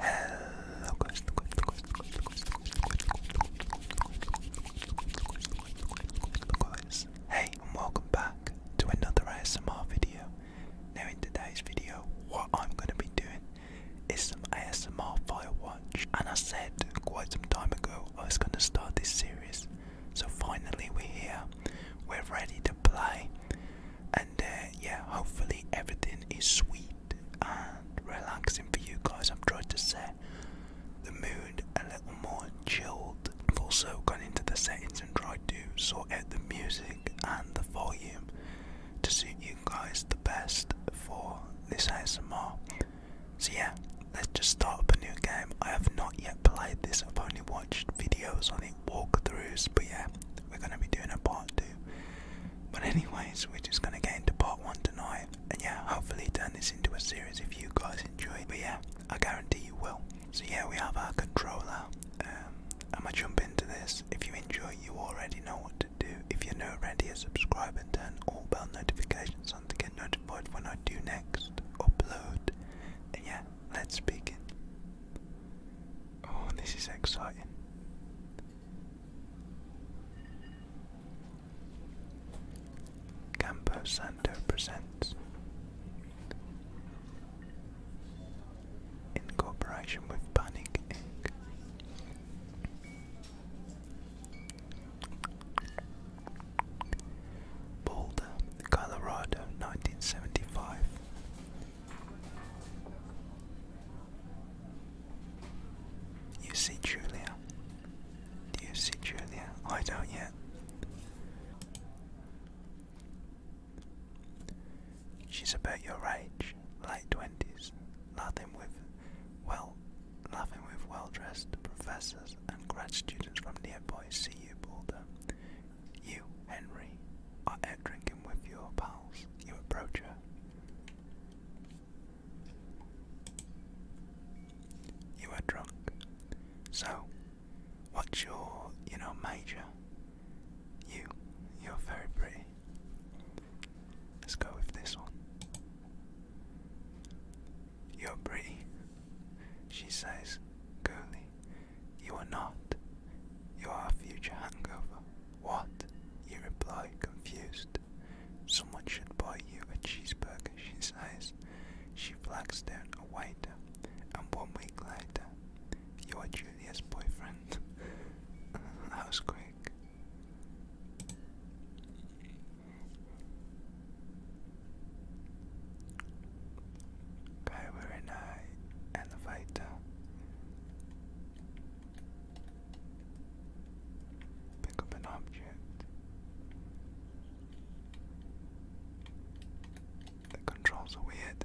Hey and welcome back to another ASMR video. Now in today's video, what I'm going to be doing is some ASMR fire watch. And I said quite some time ago I was going to start this series. So finally we're here, we're ready to play. And uh, yeah, hopefully everything is sweet and relaxing for you guys. I've tried to set the mood a little more chilled. I've also gone into the settings and tried to sort out the music and the volume to suit you guys the best for this ASMR. So yeah, let's just start up a new game. I have not yet played this, I've only watched videos on it, walkthroughs, but yeah, we're going to be doing a part 2. But anyways, we're just gonna get into part one tonight, and yeah, hopefully turn this into a series if you guys enjoy. But yeah, I guarantee you will. So yeah, we have our controller. Um, I'm gonna jump into this. If you enjoy, you already know what to do. If you're not already, subscribe and turn all bell notifications on to get notified when I do next upload. And yeah, let's begin. Oh, this is exciting. Campo Santo presents, in cooperation with Panic Inc. Boulder, Colorado, 1975. You see Julia? Do you see Julia? I don't yet. She's about your age, late twenties, laughing with well laughing with well dressed professors and grad students from nearby CU Boulder. You, Henry, are out drinking with your pals. You approach her. You are drunk. So, what's your, you know, major? You, you're very pretty. Let's go with this one. You're pretty. She says, Girlie, you are not. You are a future hangover. What? You reply, confused. Someone should buy you a cheeseburger, she says. She flags down a waiter, and one week later, you are Julia's boyfriend. that was quick. Okay, we're in Pick up an object. The controls are weird.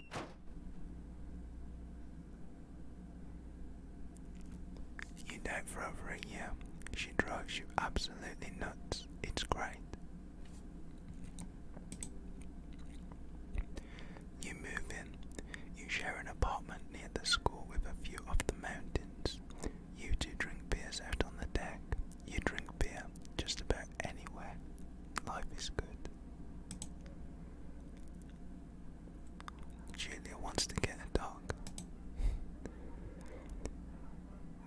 You know, for a year, she drives you absolutely nuts. It's great. You move in. You share an apartment near the school with a view of the mountains. You two drink beers out on the deck. You drink beer just about anywhere. Life is good. Julia wants to get a dog.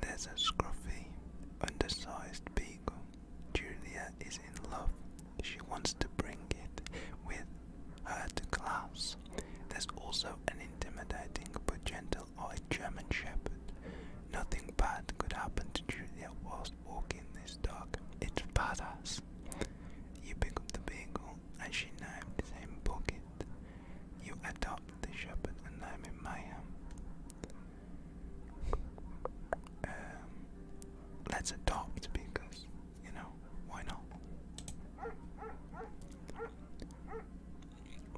There's a scruffy, undersized beagle. Julia is in love. She wants to bring it with her to class. There's also an intimidating but gentle-eyed German Shepherd. Nothing bad could happen to Julia while walking this dog. It's badass. You pick up the beagle and she named the same bucket. You adopt the shepherd and name him Mayhem. Um, let's adopt because, you know, why not?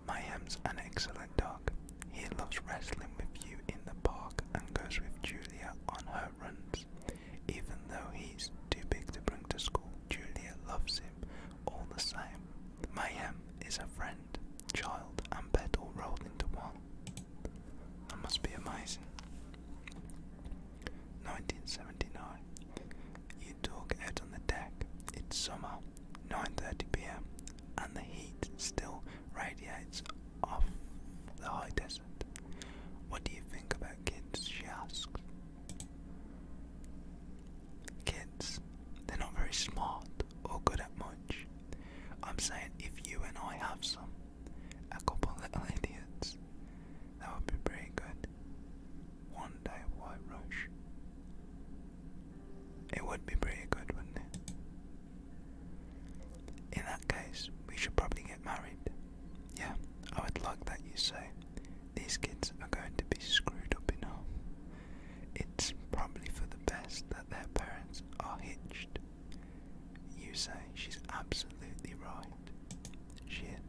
Mayhem's an excellent dog. He loves wrestling with you in the park and goes with Julia on her runs. Even though he's too big to bring to school, Julia loves him all the same. Mayhem is a friend, child, and pet all rolled into one. That must be amazing. 1979. You talk out on the deck. It's summer, 9:30 p.m and the heat still radiates off the high desert. What do you think about kids? She asked. Kids, they're not very smart or good at much. I'm saying if you and I have some, a couple little idiots, that would be pretty good. One day, White Rush. It would be pretty good, wouldn't it? In that case, we should probably get married. Yeah, I would like that you say. These kids are going to be screwed up enough. It's probably for the best that their parents are hitched. You say she's absolutely right. Shit.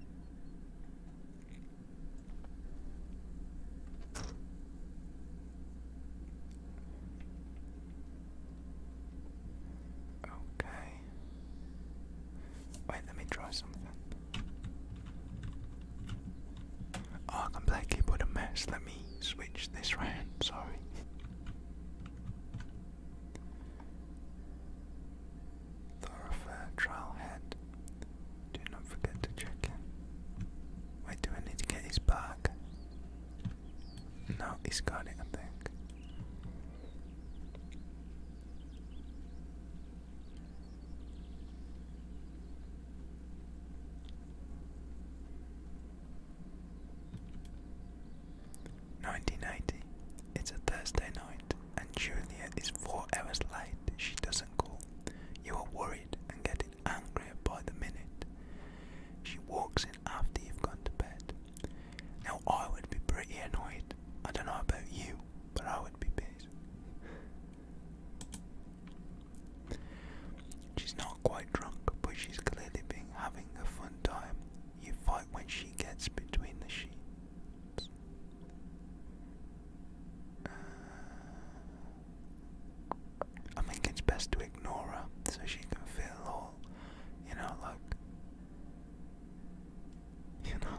Okay. Wait, let me try something. Oh, I can play keyboard Let me switch this round. Sorry. Thoroughfare trailhead. Do not forget to check in. Wait, do I need to get his bag? No, he's got it, I think. Nineteen ninety. It's a Thursday night, and Julia is four late. She doesn't call. You are worried and getting angrier by the minute. She walks in after you've gone to bed. Now, I would be pretty annoyed. I don't know about you, but I would be pissed. She's not quite drunk, but she's clearly been having a fun time. You fight when she gets between the sheets. Uh, I think it's best to ignore her so she can feel all you know, look. You know,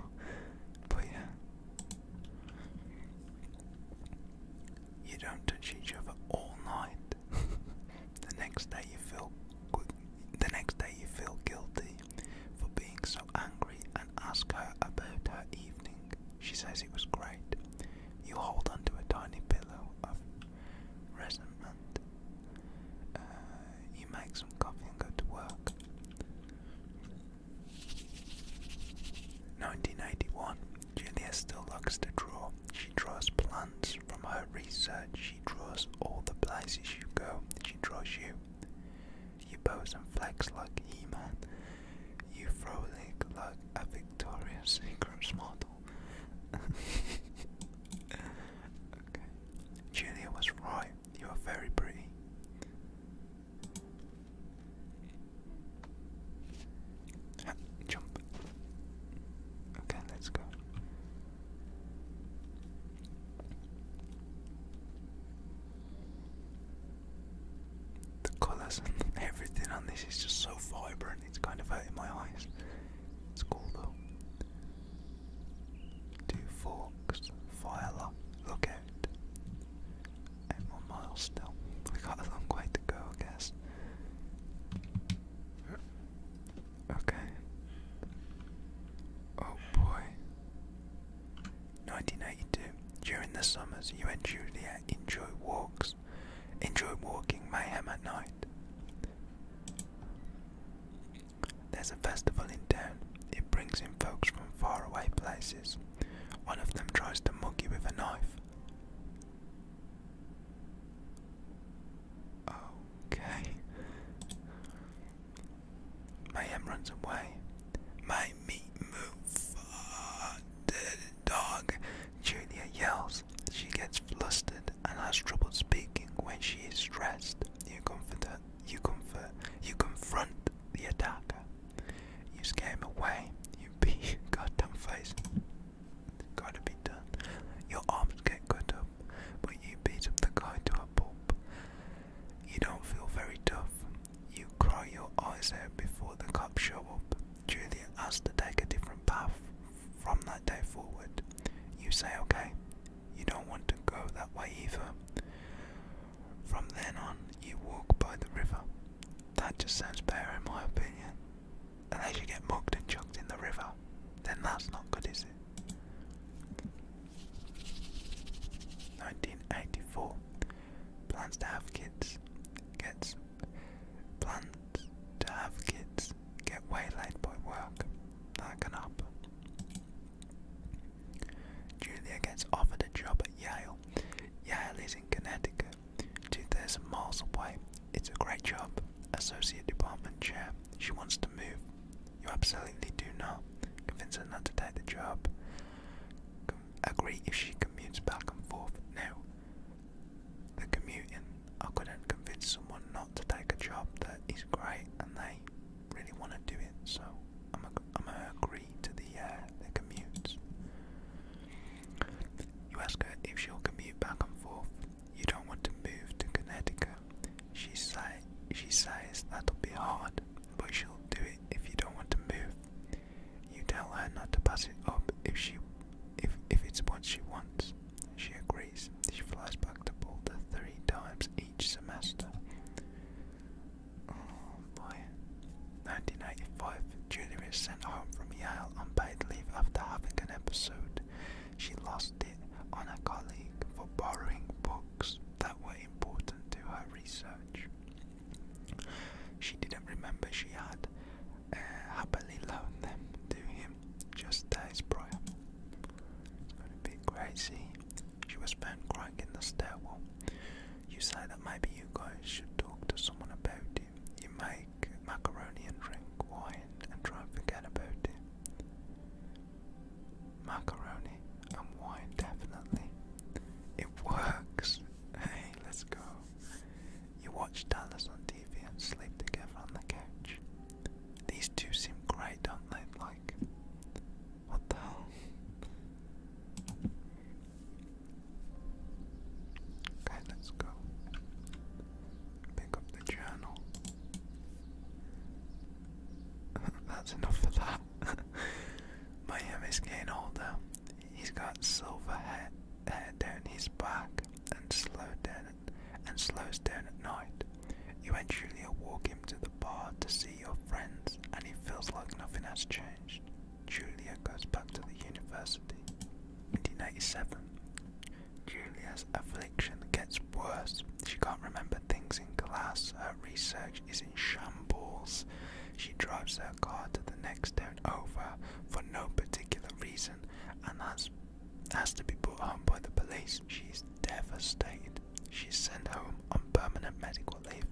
but yeah. You don't touch each other all night. the next day you feel The next day you feel guilty for being so angry and ask her about her evening. She says it was great. You hold onto a tiny pillow of resentment. Uh, you make some coffee and go to work. 1981. Julia still likes to draw. She draws plants from her research. She draws all the places you go. She draws you. You pose and flex like He-Man. You frolic like a Victoria's Secret model. Julia was right. You are very pretty. jump. Okay, let's go. The colours and everything on this is just so vibrant it's kind of hurting my eyes. It's cool though. Two forks, fire look out. Eight more miles still. We got a long to go, I guess. Okay. Oh boy. 1982. During the summers, you and Juliet enjoy walks. Enjoy walking mayhem at night. There's a festival in town. It brings in folks from faraway places. One of them tries to mug you with a knife. Okay. Mayhem runs away. My meat move. Uh, dog. Julia yells. She gets flustered and has trouble speaking when she is stressed. You comfort her, you comfort you confront the attacker. You scare him away. You beat goddamn face. Gotta be done. Your arms get cut up, but you beat up the guy to a pulp. You don't feel very tough. You cry your eyes out before the cops show up. Julia has to take a different path from that day forward, you say, okay, you don't want to go that way either. From then on, you walk by the river. That just sounds better, in my opinion. And as you get mugged and chucked in the river, then that's not good, is it? 1984. Plans to have kids. Gets plans to have kids get waylaid by work. That can happen. Julia gets offered a job at Yale. Yale is in Connecticut, 2,000 miles away. It's a great job. Associate department chair. She wants to move. You absolutely do not. Convince her not to take the job. Agree if she commutes back and forth. No the commuting. I couldn't convince someone not to take a job that is great and they really want to do it, so I'm going to agree to the, uh, commutes. You ask her if she'll commute back and forth. You don't want to move to Connecticut. She, say, she says that'll be hard, but she'll do it if you don't want to move. You tell her not to pass it up if she if if it's what she wants. She agrees. She flies back to Boulder three times each semester. Oh boy. 1985, Julia is sent home from Yale on paid leave after having an episode. She lost it on a colleague for borrowing books that were important to her research. She didn't remember she had uh, happily loan them to him just days prior. It's going to be crazy. She was found crying in the stairwell. You say that maybe you guys should talk to someone about it. You make macaroni and drink wine and try forget about it. Macaroni and wine, definitely. It works. Hey, let's go. You watch Dallas on TV and sleep together on the couch. These two seem great, don't they? Like, what the hell? Okay, let's go. Pick up the journal. That's enough of that. My getting older. He's got silver hair, hair down his back and slow down and slows down at night. Eventually, I walk him to the bar to see your friends, and he feels like nothing has changed. Julia goes back to the university. 1987. Julia's affliction gets worse. She can't remember things in class. Her research is in shambles. She drives her car to the next town over for no particular reason and has has to be brought home by the police. She's devastated. She's sent home on permanent medical leave.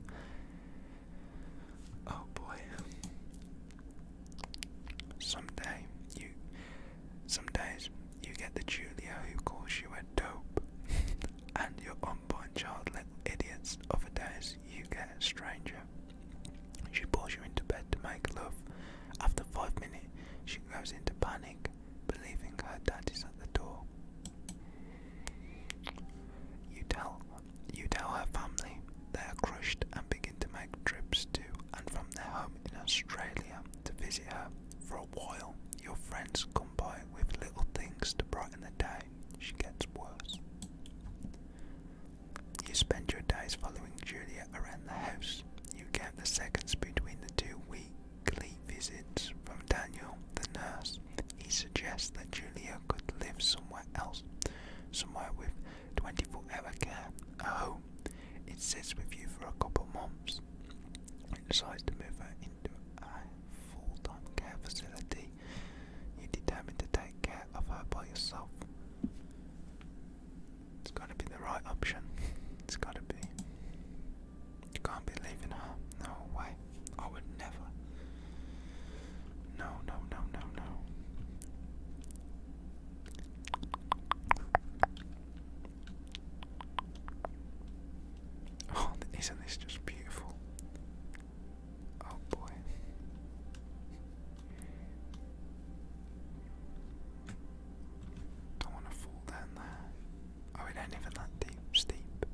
Oh boy. Someday you some days you get the Julia who calls you a dope and your unborn child little idiots. of Other days you get a stranger. She pulls you into bed to make love. After five minutes, she goes into panic, believing her dad is at the door. You tell, you tell her family they are crushed and begin to make trips to and from their home in Australia to visit her. For a while, your friends come by with little things to brighten the day. She gets worse. You spend your days following Julia around the house. You count the seconds between the two weekly visits from Daniel, the nurse. He suggests that Julia could live somewhere else, somewhere with 24 hour care, a home. It sits with you for a couple months and decides to move her into a full time care facility. You determine to take care of her by yourself. It's gotta be the right option. It's gotta be. You can't be leaving her. No way. I would never. No, no, no, no, no. Oh, isn't this just beautiful? Oh boy. Don't want to fall down there. Oh, it ain't even that deep. Steep.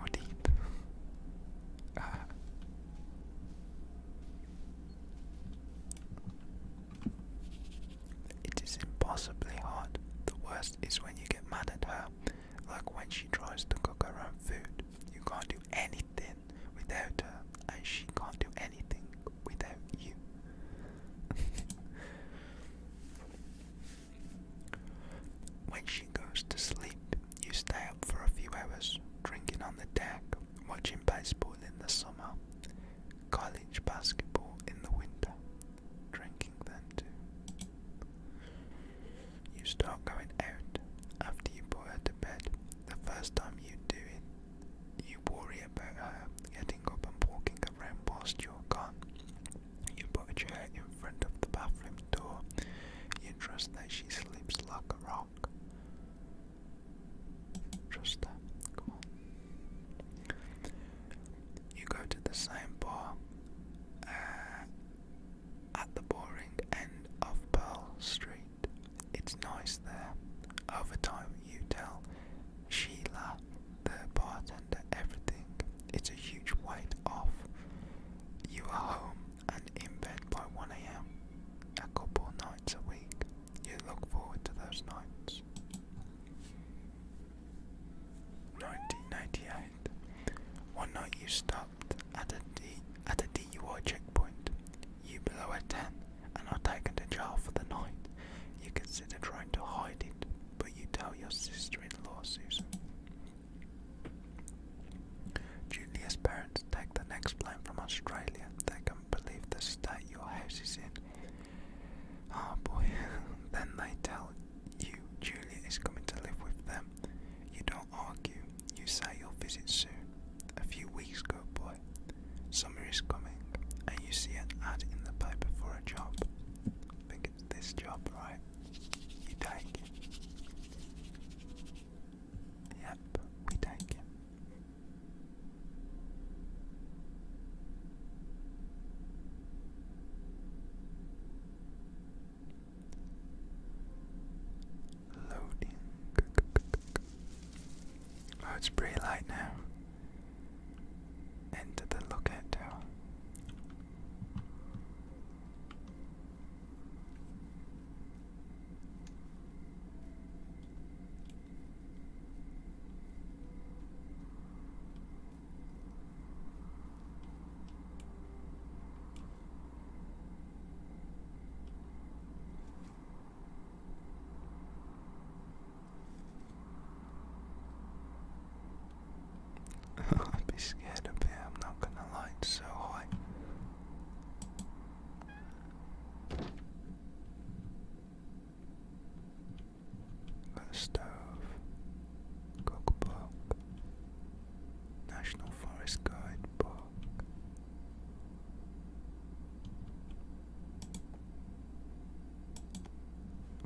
Or deep. Ah. It is impossibly hard. The worst is when you get mad at her, like when she tries to cook her own food. You can't do anything. Without her, uh, and she can't do anything without you. when she goes to sleep, you stay up for a few hours, drinking on the deck, watching baseball in the summer, college basketball in the winter, drinking then too. You start going out after you put her to bed. The first time you do it, you worry about her getting up and walking around past your gun. You put a chair in front of the bathroom door. You trust that she sleeps like a rock. Trust her. Come on. You go to the same bar uh, at the boring end of Pearl Street. It's nice there. Over time, you tell Sheila, the bartender, everything. It's a huge weight off. You are home and in bed by 1am, a couple nights a week. You look forward to those nights. 1998. One night you stopped at a, D at a DUI checkpoint. You below a tent, and are taken to jail for the night. You consider trying to hide it, but you tell your sister in law, Susan. Julia's parents take the next plane from Australia. They can't believe the state your house is in. Ah, oh boy. then they tell you Julia is coming to live with them. You don't argue. You say you'll visit soon. A few weeks ago, boy. Summer is coming, and you see an ad in the paper for a job. this job, right? You take it. Yep, we take it. Loading. Oh, it's pretty light now. Into the lookout I'd be scared of it. I'm not gonna lie, it's so high. Got a stove, cookbook, National Forest Guide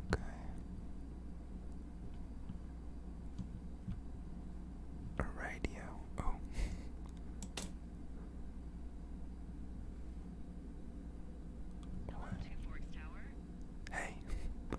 Okay. radio. Oh. Hey.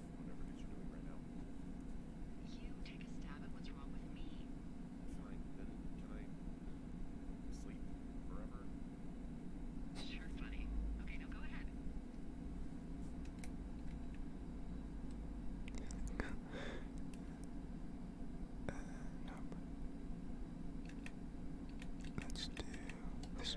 whatever it is take a stab at what's wrong with me. Fine, then can I sleep forever? Sure, funny. Okay, now go ahead. uh, nope. Let's do. this.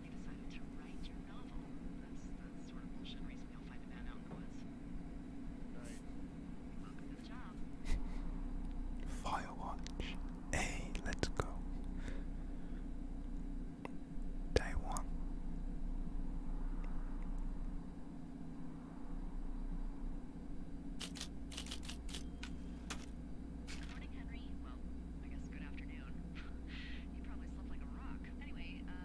time you to write your novel. That's the sort of bullshit you'll find a man out in the woods. Hey, let's go. Day one. morning, Henry. Well, I guess good afternoon. you probably slept like a rock. Anyway, uh,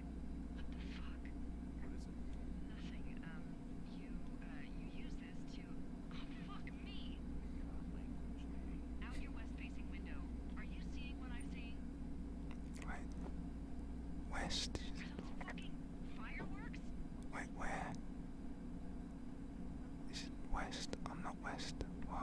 What the fuck? Nothing. Um, you, uh, you use this to... Oh, fuck me! Out your west-facing window. Are you seeing what I'm seeing? Wait. West? Wait, where? Is it west? I'm not west. Why?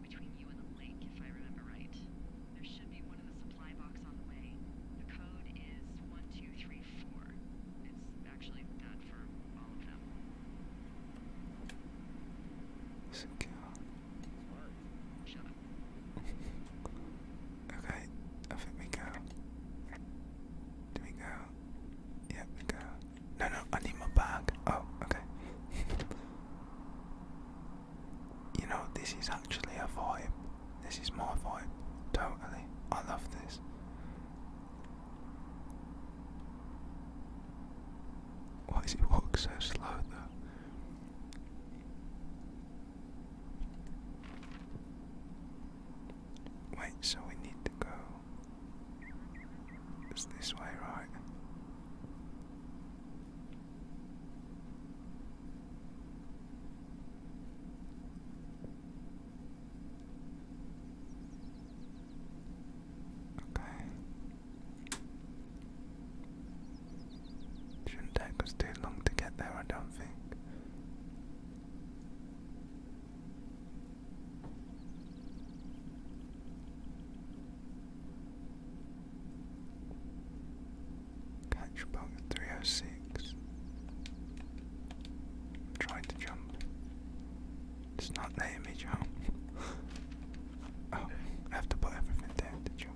down if I remember right. There should be one in the supply box on the way. The code is 1234. It's actually that for all of them. okay, I think go. Do we go? Yeah, go. No, no, I need my bag. Oh, okay. you know, this is actually a vibe. This is my vibe. Totally. I love this. Why does it walk so slow though? Wait, so we need to go. It's this way, right? Okay. Shouldn't take us too long to get there, I don't think. Catch 306. trying to jump. It's not letting me jump. oh, have to put everything down to jump.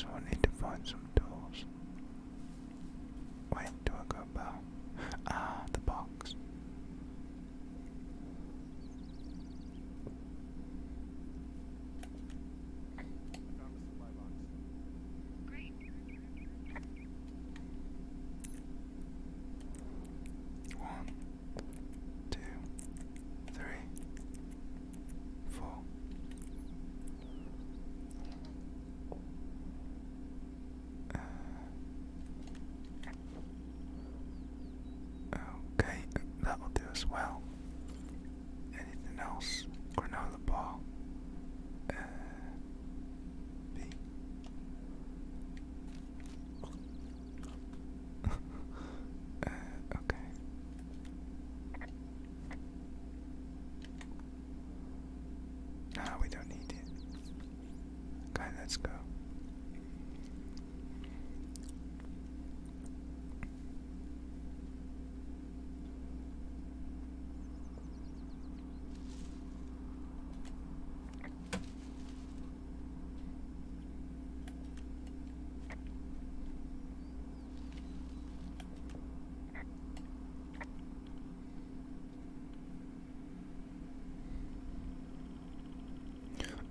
So I need to find some tools. Wait, do I go about? Ah, the box. One, two, three, four. Uh, okay, that will do as well. Anything else? Granola bar. Uh, B. Uh, okay. Nah, we don't need it. Okay, let's go.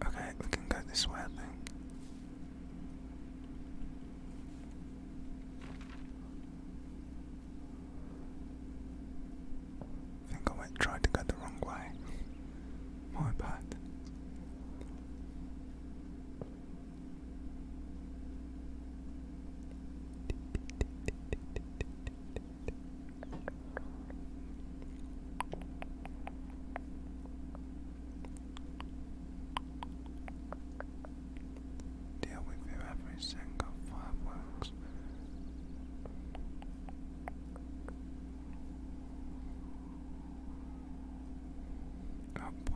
Okay, we can go this way, I think I went tried to go the wrong way. My bad. Deal with you every single firework Oh boy.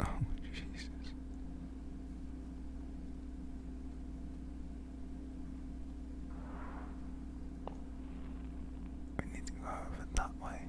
Oh, Jesus. We need to go over that way.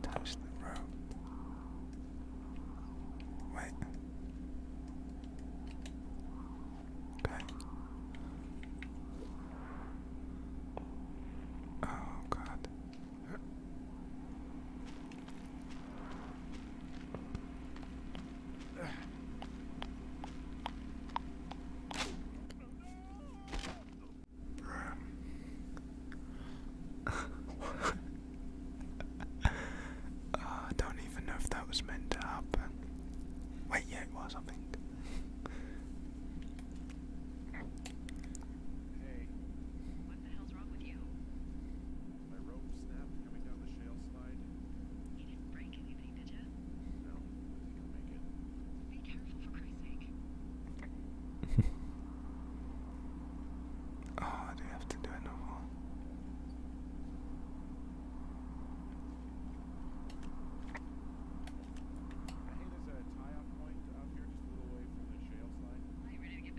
Touch the rope. Wait. Okay. Oh God. Ah, I don't even know if that was meant to happen. Wait, yeah, it was, I think. My rope snapped coming down the shale slide. You didn't break anything, did you? No, I think I'll make it. Be careful for Christ's sake. oh, I do have to do it no more. Hey, there's a tie-off point up here just a little away from the shale slide. Are you ready to get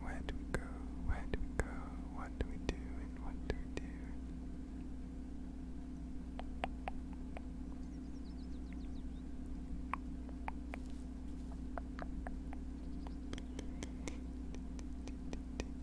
Where do we go? Where do we go? What do we do? And what do we do?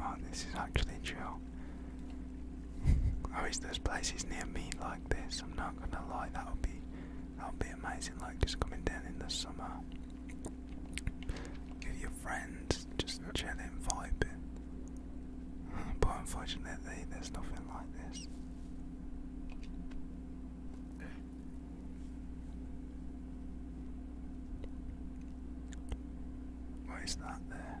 Oh, this is actually true. Oh, I wish this place near me like this, I'm not gonna lie, that would be that would be amazing, like just coming down in the summer with your friends, just chilling, vibing. But unfortunately, there's nothing like this. What is that there?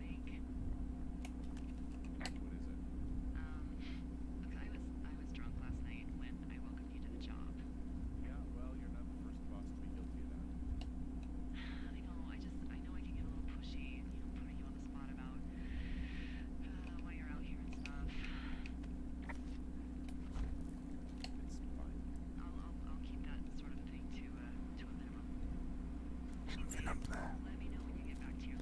Um, I was drunk last night when I welcomed you to the job. Yeah, well, you're not the first boss to be guilty of I know. I just I know I can get a little pushy, you know, putting you on the spot about uh, you're out here and stuff. I'll, keep that sort of thing to uh, a minimum. Something up there. Let me know when you get back to your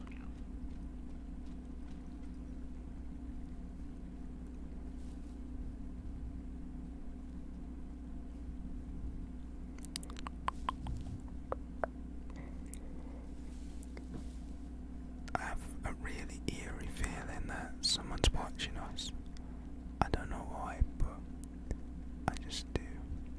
I have a really eerie feeling that someone's watching us. I don't know why, but I just do.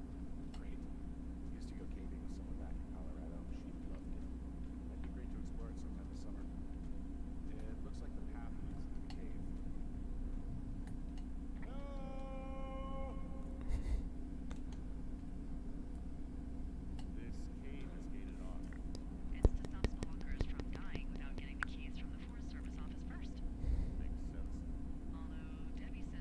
Great. to go caving with someone back in Colorado. She loved it. That'd be great to explore it sometime this summer. It looks like the path leads to the cave. No! This cave is gated off. It's to stop stalkers from dying without getting the keys from the Forest Service office first. Makes sense. Although Debbie said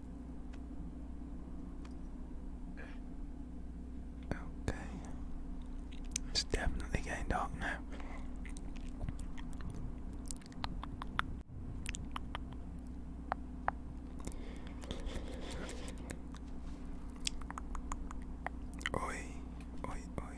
Okay. It's definitely getting dark now. Oi, oi, oi.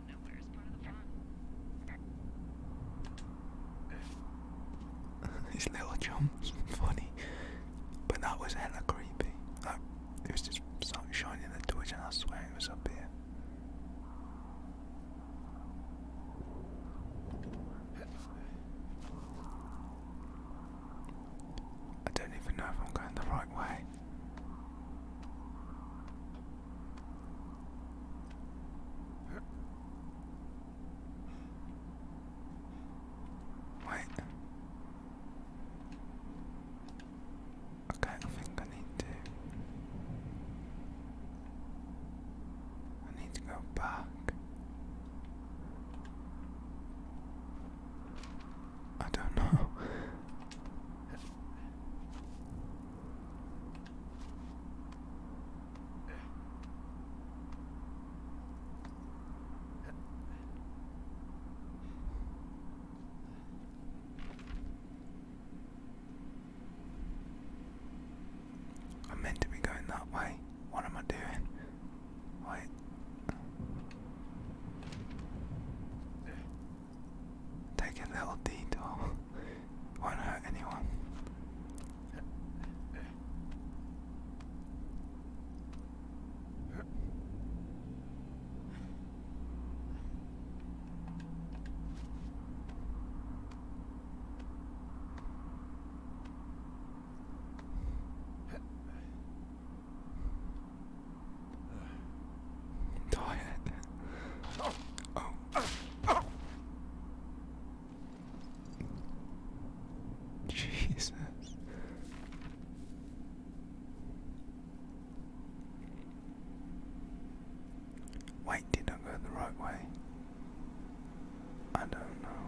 His little jumps funny, but that was hella creepy. Like, was just something shining in the torch, and I swear it was up here. I don't even know if I'm going the right way. Wait. Okay, I think I need to. I need to go back. I don't know. i meant to be going that way. What am I doing? Wait. Take a little detour. Won't hurt anyone. Diet. Oh. Jesus. Wait, did I go the right way? I don't know.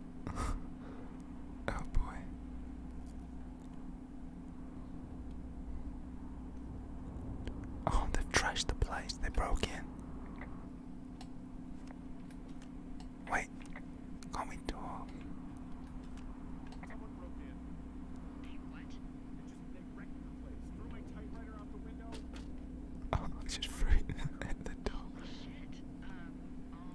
oh boy. Oh, they trashed the place. They broke in. Wait, can we do Someone broke in. They just they oh, at the door. Oh,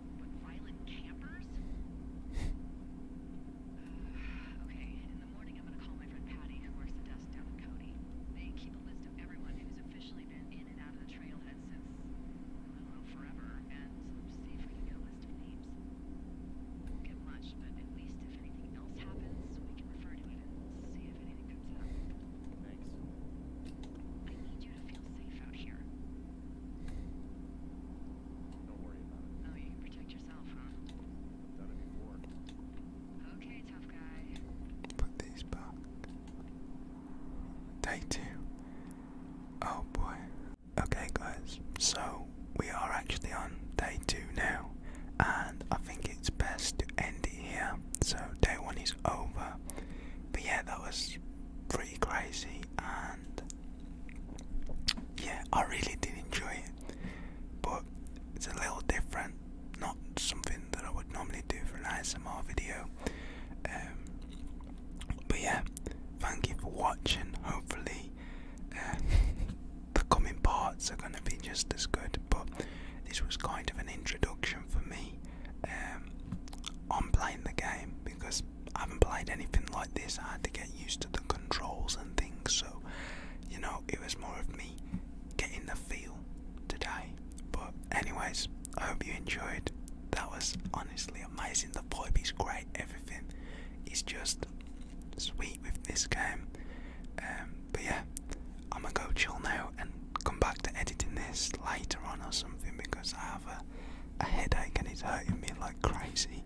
With okay, in the morning I'm gonna call my friend Patty, who works the desk down in Cody. They keep a list of everyone who's officially been in and out of the trailhead since, I don't know, forever, and see if we can get a list of names. Won't get much, but at least if anything else happens, we can refer to it and see if anything comes up. Thanks. I need you to feel safe out here. Oh, Put these back. Day two. Oh boy. Okay, guys. So we are actually on day two now, and I think it's best to end it here. So day one is over. But yeah, that was pretty crazy and yeah, I really did enjoy it, but it's a little different, not something that I would normally do for an ASMR video. Um, but yeah, thank you for watching. Hopefully, uh, the coming parts are going to be just as good, but this was kind of an introduction for me. Um, I'm playing the game because I haven't played anything like this. I had to get used to the controls and things, so you know, it was more of me getting the feel today. But, anyways, I hope you enjoyed. That was honestly amazing. The vibe is great, everything is just sweet with this game. Um, but yeah, I'm gonna go chill now and come back to editing this later on or something because I have a a headache and it's hurting me like crazy.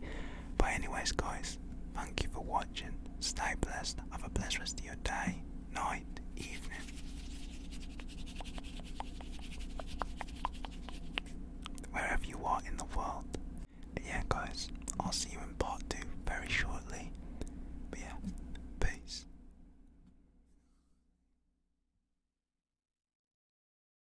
But anyways guys, thank you for watching. Stay blessed. Have a blessed rest of your day, night, evening. Wherever you are in the world. yeah guys, I'll see you in part two very shortly. yeah, peace.